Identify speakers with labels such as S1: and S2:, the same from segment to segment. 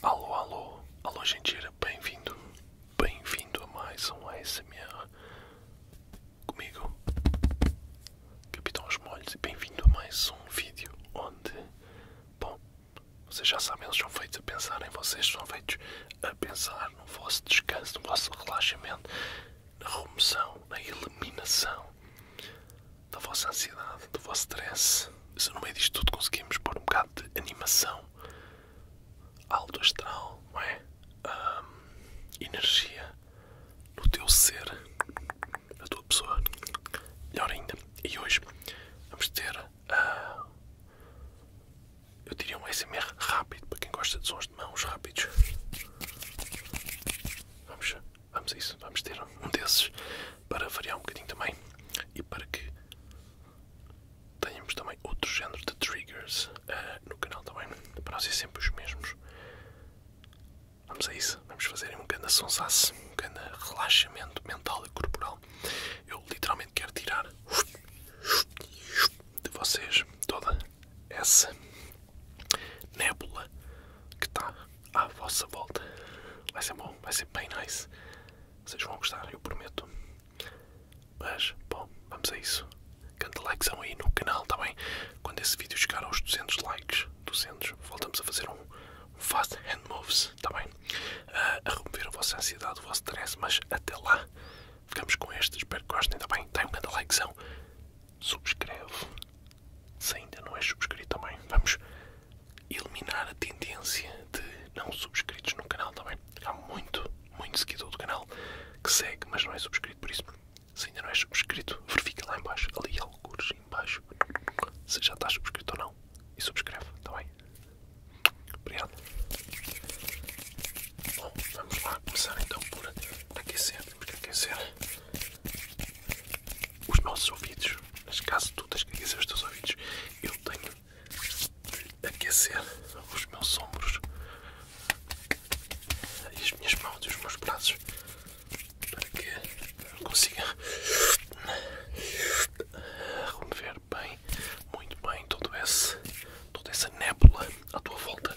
S1: Alô, alô, alô, genteira, bem-vindo, bem-vindo a mais um ASMR comigo, Capitão Molhos, e bem-vindo a mais um vídeo onde, bom, vocês já sabem, eles são feitos a pensar em vocês, são feitos a pensar no vosso descanso, no vosso relaxamento, na remoção, na eliminação da vossa ansiedade, do vosso stress. Se no meio disto tudo conseguimos pôr um bocado de animação, alto astral, não é? energia no teu ser, na tua pessoa, melhor ainda. E hoje vamos ter, ah, eu diria um SMR rápido, para quem gosta de sons de mãos rápidos. Vamos Vamos a isso, vamos ter um desses para variar um bocadinho também e para que tenhamos também outro género de triggers eh, no canal também, para não ser sempre os mesmos. Vamos a isso, vamos fazer um grande sonsaço, um grande relaxamento mental e corporal. Eu literalmente quero tirar de vocês toda essa nébula que está à vossa volta. Vai ser bom, vai ser bem nice. Vocês vão gostar, eu prometo. Mas, bom, vamos a isso. Canta likezão aí no canal, tá bem? Quando esse vídeo chegar aos 200 likes, 200, voltamos a fazer um, fast hand moves, tá bem? Ah, a remover a vossa ansiedade, o vosso stress, mas até lá, ficamos com este. Espero que gostem, tá bem? Dêem um grande likezão subscreve. Se ainda não é subscrito também, vamos eliminar a tendência de não subscritos no canal também. Há muito, muito seguidor do canal que segue, mas não é subscrito, por isso se ainda não é subscrito, verifica lá embaixo ali alguns embaixo se já está subscrito ou não, e subscreve, também tá Obrigado. Bom, vamos lá começar então por aquecer temos que aquecer os nossos ouvidos. Mas caso tu tens que aquecer os teus ouvidos, eu tenho de aquecer os meus ombros e as minhas mãos e os meus braços para que eu consiga remover bem, muito bem, todo esse, toda essa nébula à tua volta.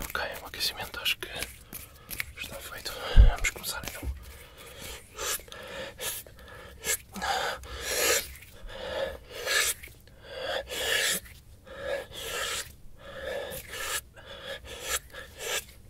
S1: Ok, o aquecimento acho que está feito. Vamos começar então.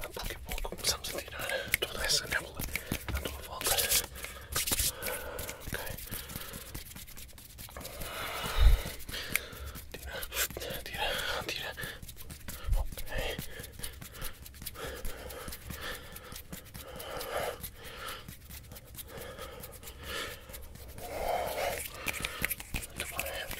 S1: a pouco e pouco começamos a tirar toda essa nébula à tua volta. Ok. Tira, tira, tira. Ok. Muito bem,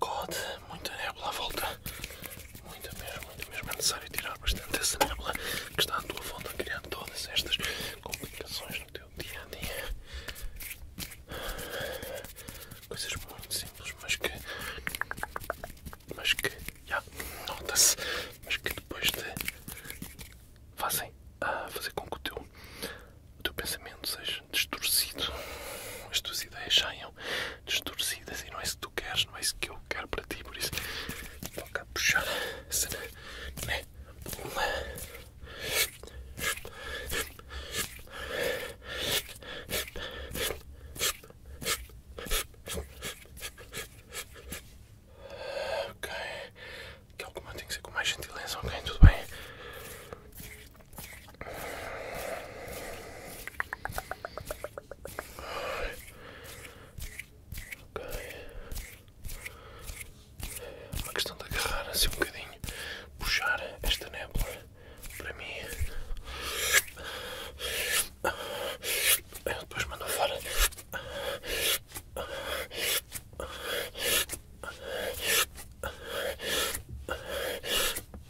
S1: God, muita nébula à volta. Muita mesmo, É necessário tirar bastante essa nébula que está à tua volta, criando todas estas complicações no teu dia a dia. Coisas muito simples, mas que. Mas que. Já, nota-se. Mas que depois de fazem a ah, fazer com que o teu, teu pensamento seja distorcido. As tuas ideias saiam meio distorcidas e não é isso que tu queres, não é isso que eu quero para ti, por isso toca a puxar a cena, né? Ok, que alguma tem que ser com mais gentileza, ok? Tudo bem? Uma questão de agarrar assim um bocadinho, puxar esta nébula para mim. Eu depois mando fora.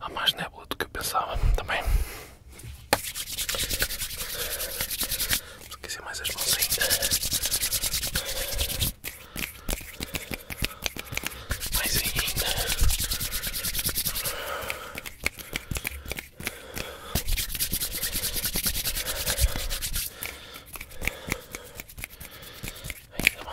S1: Há mais nébula do que eu pensava também. Esqueci mais as mãos ainda. Mas ainda Ainda mais Ainda mais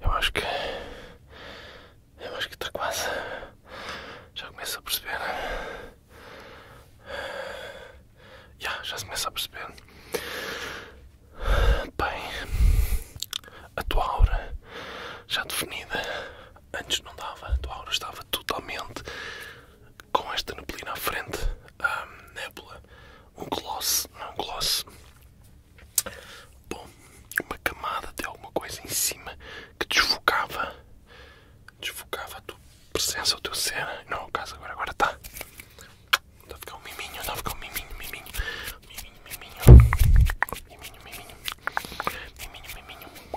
S1: Eu acho que. Eu acho que está quase. Já começo a perceber. Já, já se começa a perceber. Bem, a tua aura já definida. Antes não dava, a tua aura estava totalmente com esta neblina à frente. A nébula, um gloss, não um gloss, Bom, uma camada de alguma coisa em cima que desfocava, desfocava a tua presença, o teu ser. Não, o caso agora, agora está. Está a ficar um miminho, está a ficar um miminho, miminho, miminho, miminho, miminho, miminho, miminho, miminho.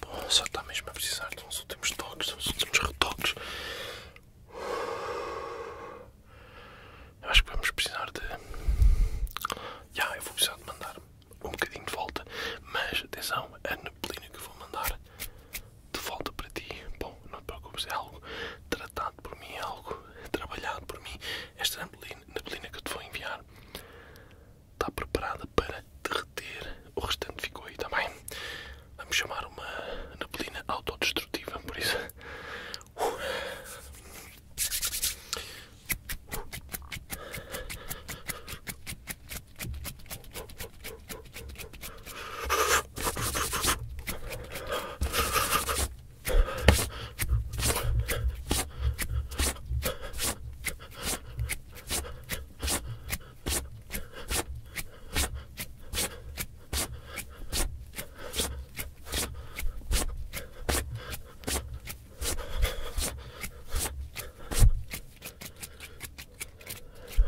S1: Bom, só está mesmo a precisar de uns últimos toques, uns últimos retoques. Eu acho que vamos precisar de. Já, eu vou precisar de mandar um bocadinho de volta, mas atenção, a neblina que vou mandar de volta para ti. Bom, não te preocupes, é algo tratado por mim, é algo trabalhado por mim. Esta neblina, neblina que eu te vou enviar está preparada para derreter. O restante ficou aí também. Vamos chamar uma neblina autodestrutiva, por isso.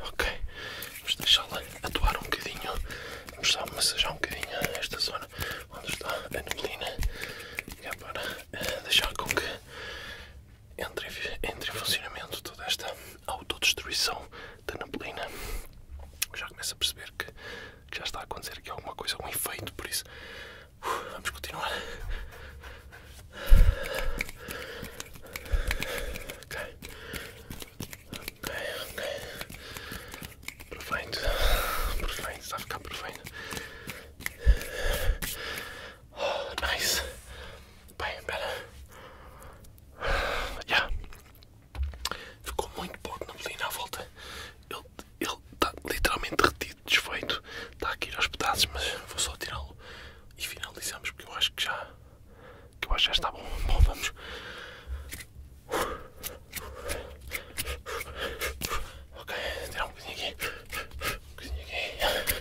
S1: Ok, vamos deixá-la atuar um bocadinho, vamos só massajar um bocadinho esta zona onde está a neblina, que é para eh, deixar com que entre, entre em funcionamento toda esta autodestruição da neblina, já começa a perceber que, já está a acontecer aqui alguma coisa, algum efeito, por isso uh, vamos continuar. Perfeito, perfeito, está a ficar perfeito nice. Bem, better. Yeah. Ficou muito pouco neblina à volta. Ele está literalmente retido, desfeito. Está aqui aos pedaços, mas vou só tirá-lo e finalizamos porque eu acho que já. Que eu já está bom. Bom, vamos. Ok, tirar um bocadinho aqui. Um bocadinho aqui.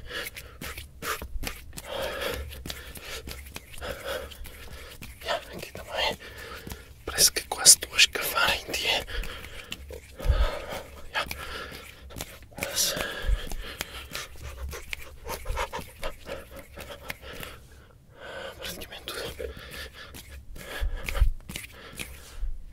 S1: Aqui também. Parece que quase estou a escavar em ti. Praticamente tudo.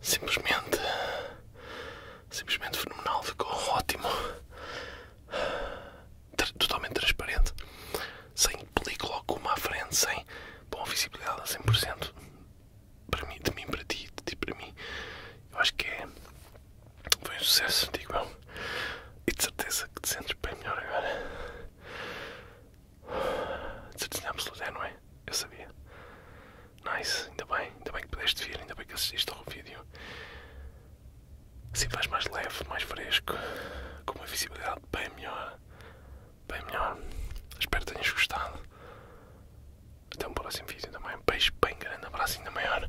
S1: Simplesmente. Simplesmente fenomenal. Ficou ótimo. Totalmente transparente. Sem película alguma à frente, sem. Bom, visibilidade a 100%. Para mim, de mim para ti, de ti para mim. Eu acho que é. Foi um sucesso, digo eu. E de certeza que te sentes bem melhor agora. De certeza absoluta, é, não é? Eu sabia. Nice, ainda bem, ainda bem que pudeste vir, ainda bem que assististe ao vídeo. Assim vais mais leve, mais fresco, com uma visibilidade bem melhor. Bem melhor. Espero que tenhas gostado. Até um próximo vídeo também. Beijo bem grande, um abraço ainda maior.